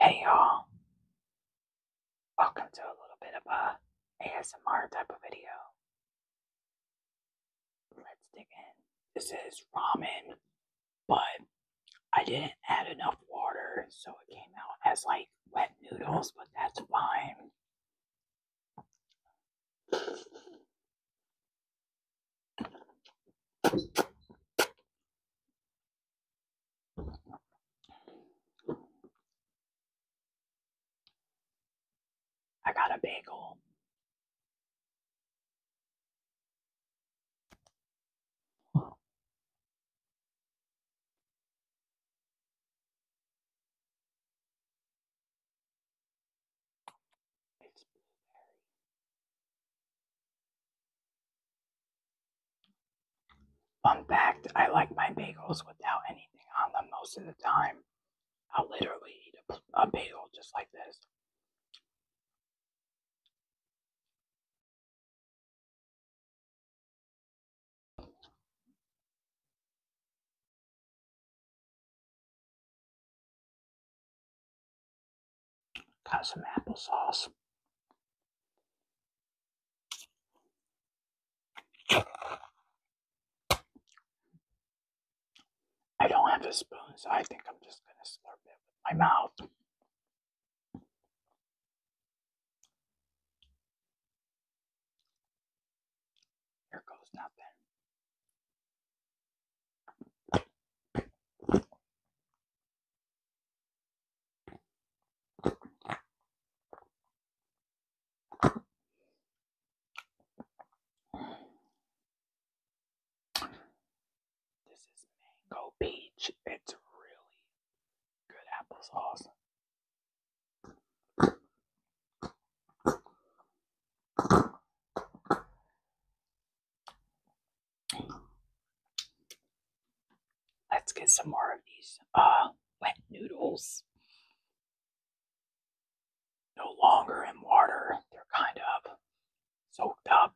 Hey y'all, welcome to a little bit of a ASMR type of video. Let's dig in. This is ramen, but I didn't add enough water, so it came out as like wet noodles, but that's fine. I got a bagel. Fun fact I like my bagels without anything on them most of the time. I'll literally eat a, bagel just like this. Got some applesauce. I don't have a spoon, so I think I'm just going to slurp it with my mouth. Here goes nothing. This is mango peach. It's really good applesauce. Let's get some more of these uh, wet noodles. No longer in water, they're kind of soaked up.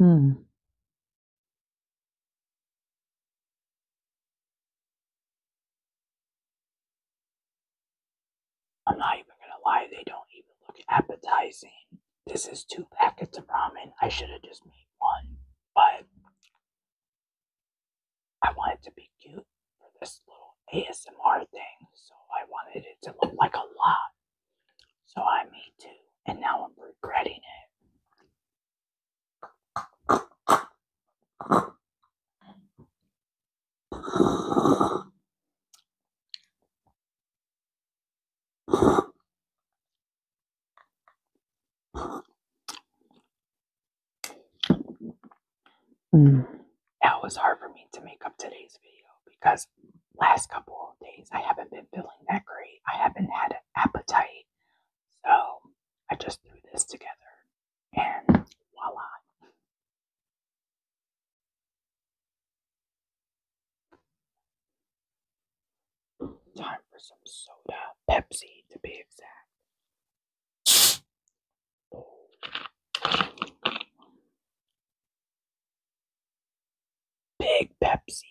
Hmm. I'm not even gonna lie, they don't even look appetizing. This is two packets of ramen. I should have just made one, but I wanted to be cute for this little ASMR thing, so I wanted it to look like a lot. So I made two, and now I'm regretting it. Mm. That was hard for me to make up today's video because last couple of days I haven't been feeling that great. I haven't had an appetite. So I just threw this together and voila. Time for some soda. Pepsi, to be exact. Big Pepsi.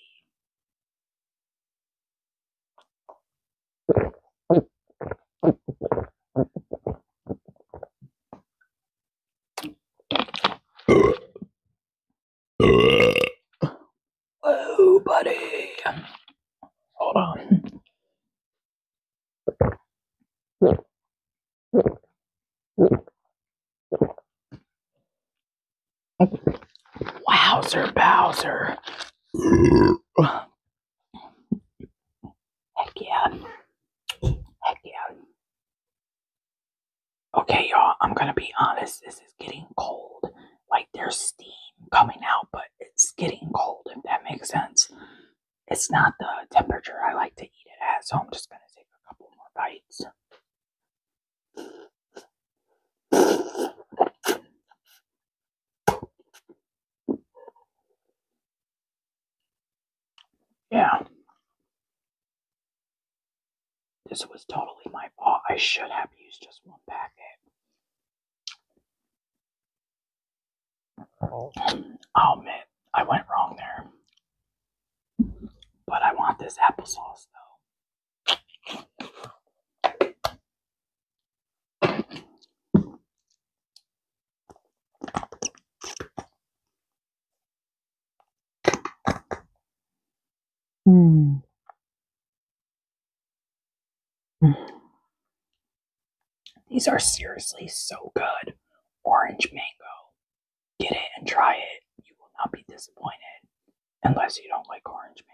Oh, buddy. Hold on. Wowzer, Bowser. Heck yeah. Heck yeah. Okay, y'all, I'm gonna be honest. This is getting cold like there's steam coming out, but it's getting cold, if that makes sense. It's not the temperature I like to eat it at, so I'm just gonna take a couple more bites. Yeah, this was totally my fault. I should have used just one packet. I'll I went wrong there. But I want this applesauce though. Mm. These are seriously so good. Orange mango. Get it and try it. You will not be disappointed unless you don't like orange mango.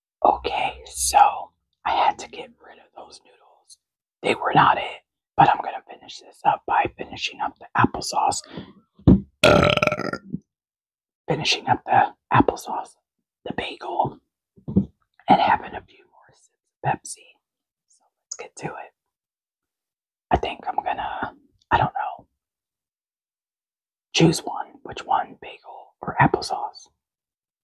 Okay, so I had to get rid of those noodles. They were not it, but I'm gonna finish this up by finishing up the applesauce. Uh. Finishing up the applesauce, the bagel, and having a few more sips of Pepsi. So let's get to it. I think I'm gonna, I don't know, choose one, which one, bagel or applesauce.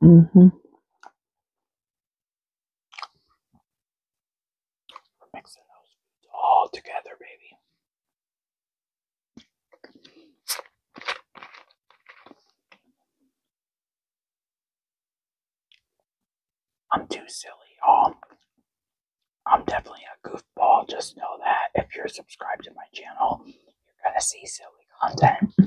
hmm Mixing those all together, baby. I'm too silly, you um, I'm definitely a goofball. Just know that if you're subscribed to my channel, you're going to see silly content.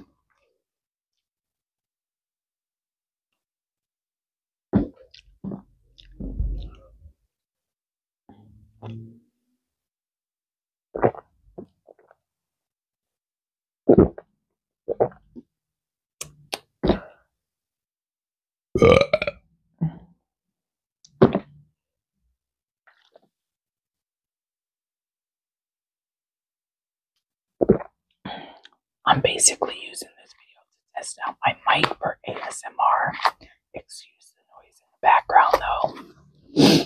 I'm basically using this video to test out my mic for ASMR. Excuse the noise in the background though.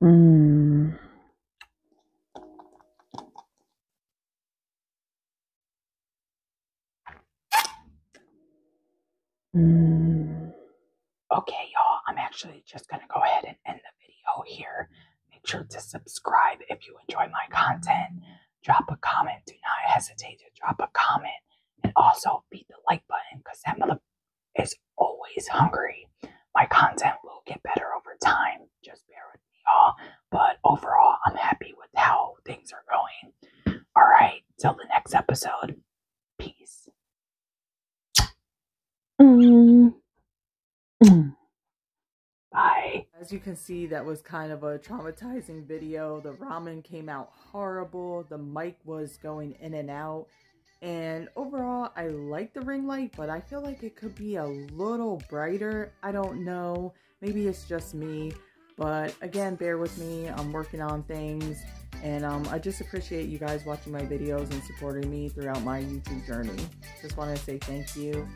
Hmm. Okay, y'all, I'm actually just going to go ahead and end the video here. Make sure to subscribe if you enjoy my content. Drop a comment. Do not hesitate to drop a comment. And also beat the like button because that mother is always hungry. My content will get better over time. Just bear with me, y'all. But overall, I'm happy with how things are going. All right, till the next episode. Peace. Mm. Bye. As you can see, that was kind of a traumatizing video. The ramen came out horrible. The mic was going in and out. And overall, I like the ring light, but I feel like it could be a little brighter. I don't know. Maybe it's just me. But again, bear with me. I'm working on things. And um, I just appreciate you guys watching my videos and supporting me throughout my YouTube journey. Just want to say thank you.